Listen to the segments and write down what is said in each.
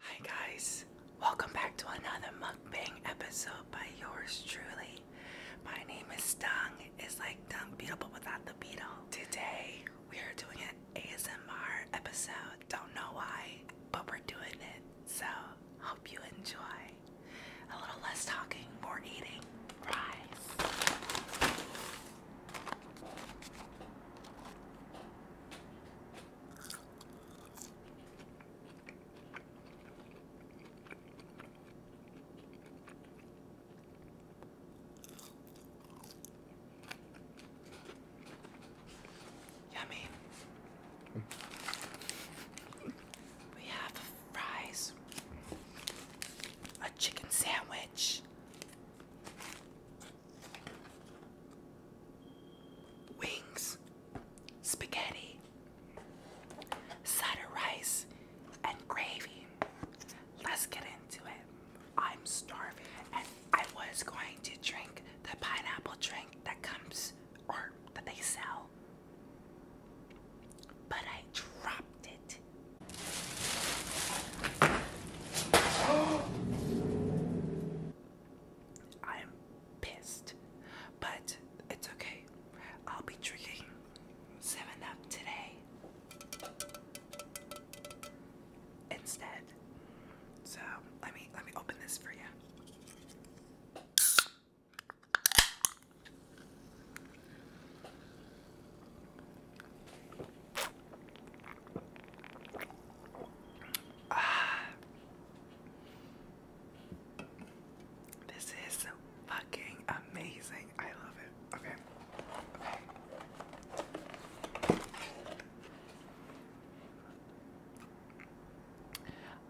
Hi guys, welcome back to another mukbang episode by yours truly. My name is Stung. It's like Dung Beetle but without the beetle. Today we are doing an ASMR episode. Don't know why, but we're doing it. So hope you enjoy. A little less talking, more eating. Rise. Yummy. We have fries, a chicken sandwich, wings, spaghetti, side of rice, and gravy. Let's get into it. I'm starving, and I was going to drink the pineapple drink that comes or that they sell, but I dropped it. I'm pissed, but it's okay. I'll be drinking 7 Up today instead. So let me let me open this for you. Ah, this is fucking amazing. I love it. Okay. Okay.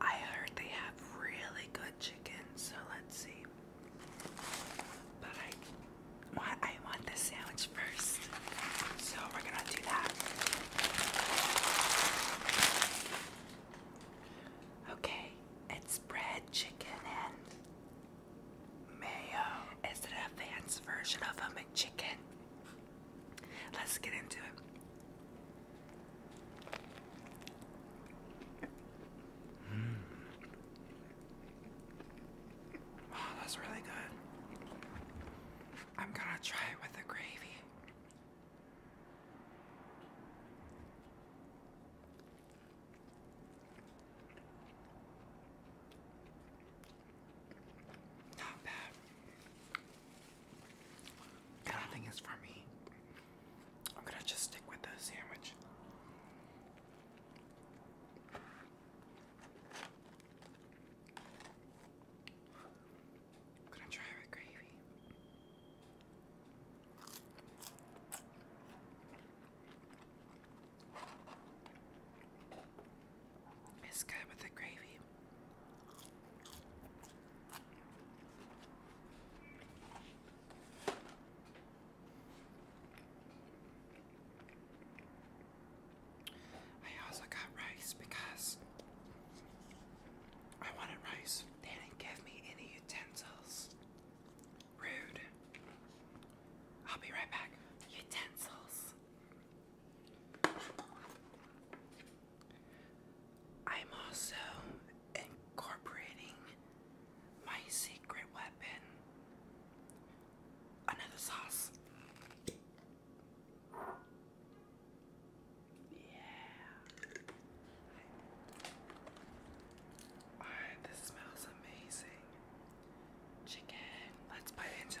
I heard they have really good chicken, so let's see. But I, I want the sandwich first. So we're gonna do that. Okay, it's bread, chicken, and mayo. Is it an advanced version of a McChicken? Let's get into it. Mmm. that's really good. I'm gonna try it with the gravy. Not bad. I don't think it's for me. I'm gonna just stick with the sandwich. I'm gonna try with gravy. It's good with the gravy. I also got rice because I wanted rice. They didn't give me any utensils. Rude. I'll be right back. Utensils. I'm also incorporating my secret weapon. Another sauce. Yeah. this smells amazing. Chicken. Let's bite into it.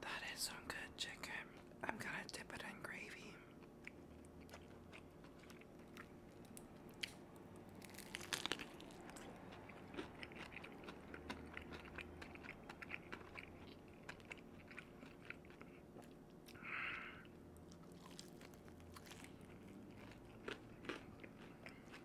That is some good chicken. I'm gonna dip it in gravy.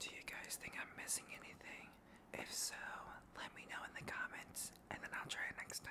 Do you guys think I'm missing anything? If so, let me know in the comments and then I'll try it next time.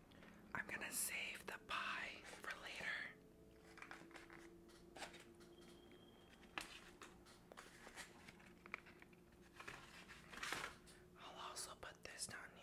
I'm gonna save the pie for later. I'll also put this down here.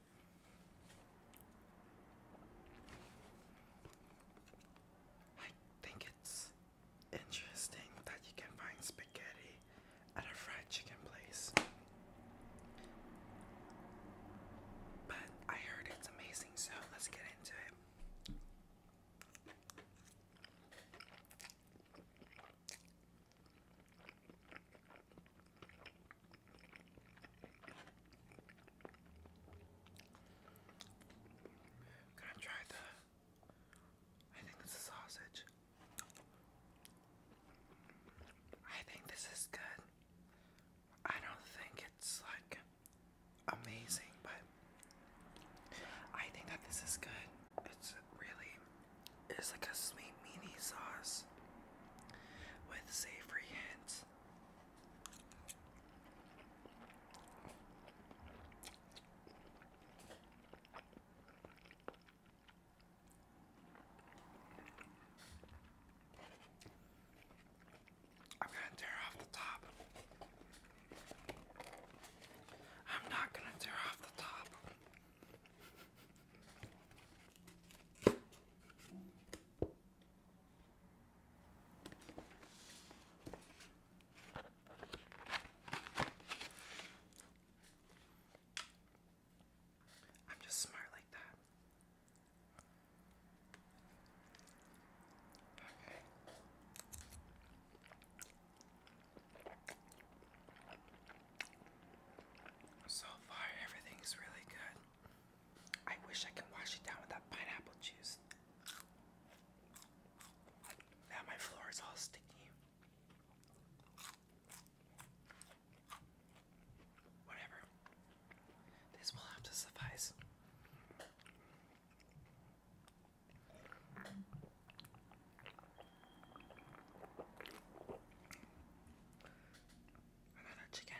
I think it's interesting that you can find spaghetti at a fried chicken place. But I heard it's amazing, so let's get into it. Gonna try the. I think it's a sausage. I think this is good. I don't think it's like amazing, but I think that this is good. It's really it's like a sweet meaty sauce with savory hints I'm gonna tear off the top. I'm not gonna tear off the top. I'm just smart like that. So far, everything's really good. I wish I can wash it down with that pineapple juice. Now my floor is all sticky. Whatever. This will have to suffice. Another chicken.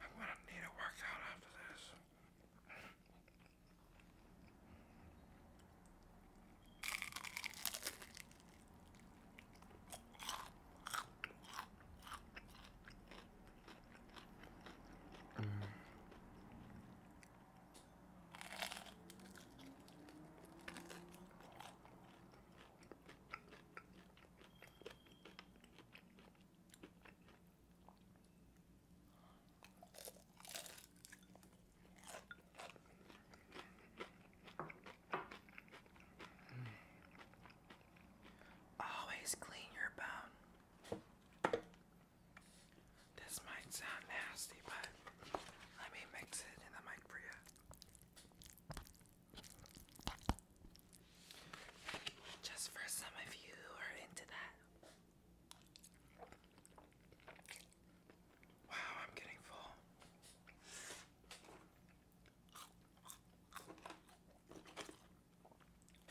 I'm gonna need a workout after this. Mm. Always clean your bone. This might sound nasty, but let me mix it in the mic for you. Just for some of you who are into that. Wow, I'm getting full.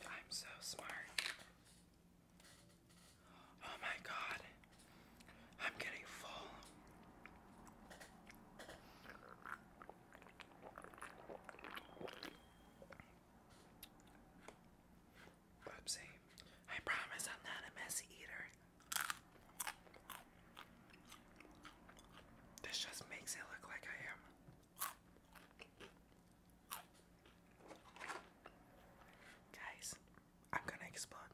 I'm so smart. Oh my god, I'm getting full. Whoopsie. I promise I'm not a messy eater. This just makes it look like I am. Guys, I'm gonna explode.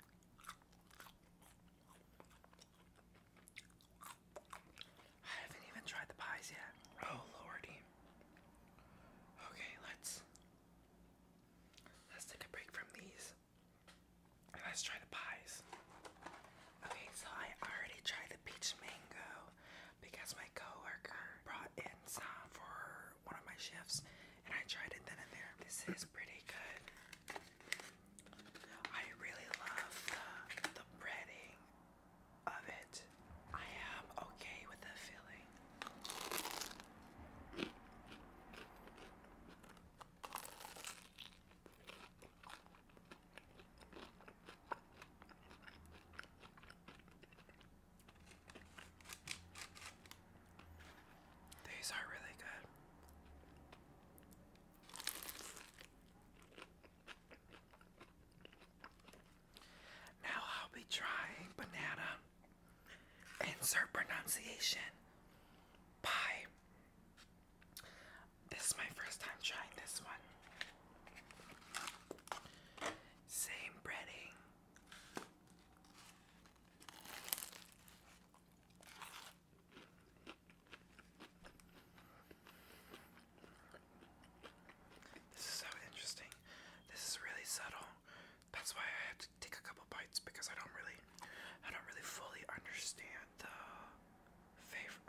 I haven't even tried the pies yet. Oh lordy. Okay, let's let's take a break from these. let's try the pies. Okay, so I already tried the peach mango because my coworker brought in for one of my shifts and I tried it then and there. This is pretty good. I really love the, the breading of it. I am okay with the filling. These are really good. Now I'll be trying banana. Insert pronunciation pie. This is my first time trying this one. Same breading, this is so interesting. This is really subtle. That's why I had to take a couple bites because I don't really, I don't really fully understand the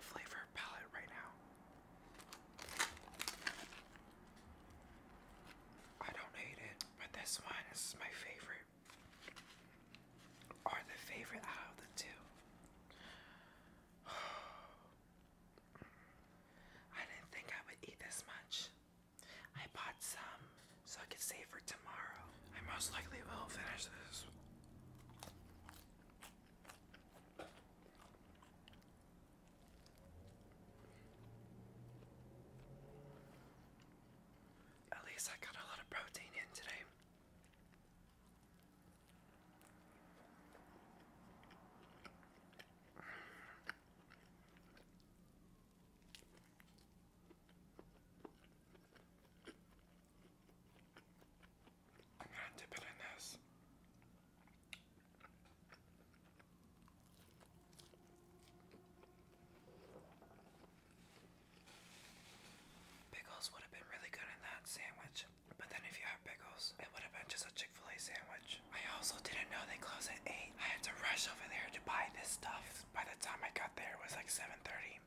flavor palette right now. I don't hate it, but this one is my favorite. Or the favorite out of the two. I didn't think I would eat this much. I bought some so I could save for tomorrow. I most likely will finish this. At least I got a lot of protein in today. I'm gonna dip it in this. Pickles would have been really good in that sandwich, but then if you have pickles, it would have been just a Chick fil A sandwich. I also didn't know they closed at 8. I had to rush over there to buy this stuff. By the time I got there, it was like 7.30.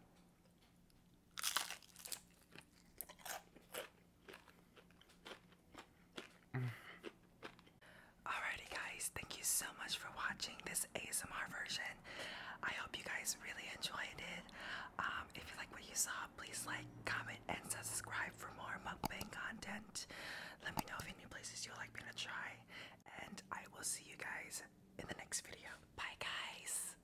Alrighty, guys, thank you so much for watching this ASMR version. I hope you guys really enjoyed it. Um, if you like what you saw, please like, comment, and subscribe for more mukbang content. Let me know if any places you'd like me to try, and I will see you guys in the next video. Bye, guys.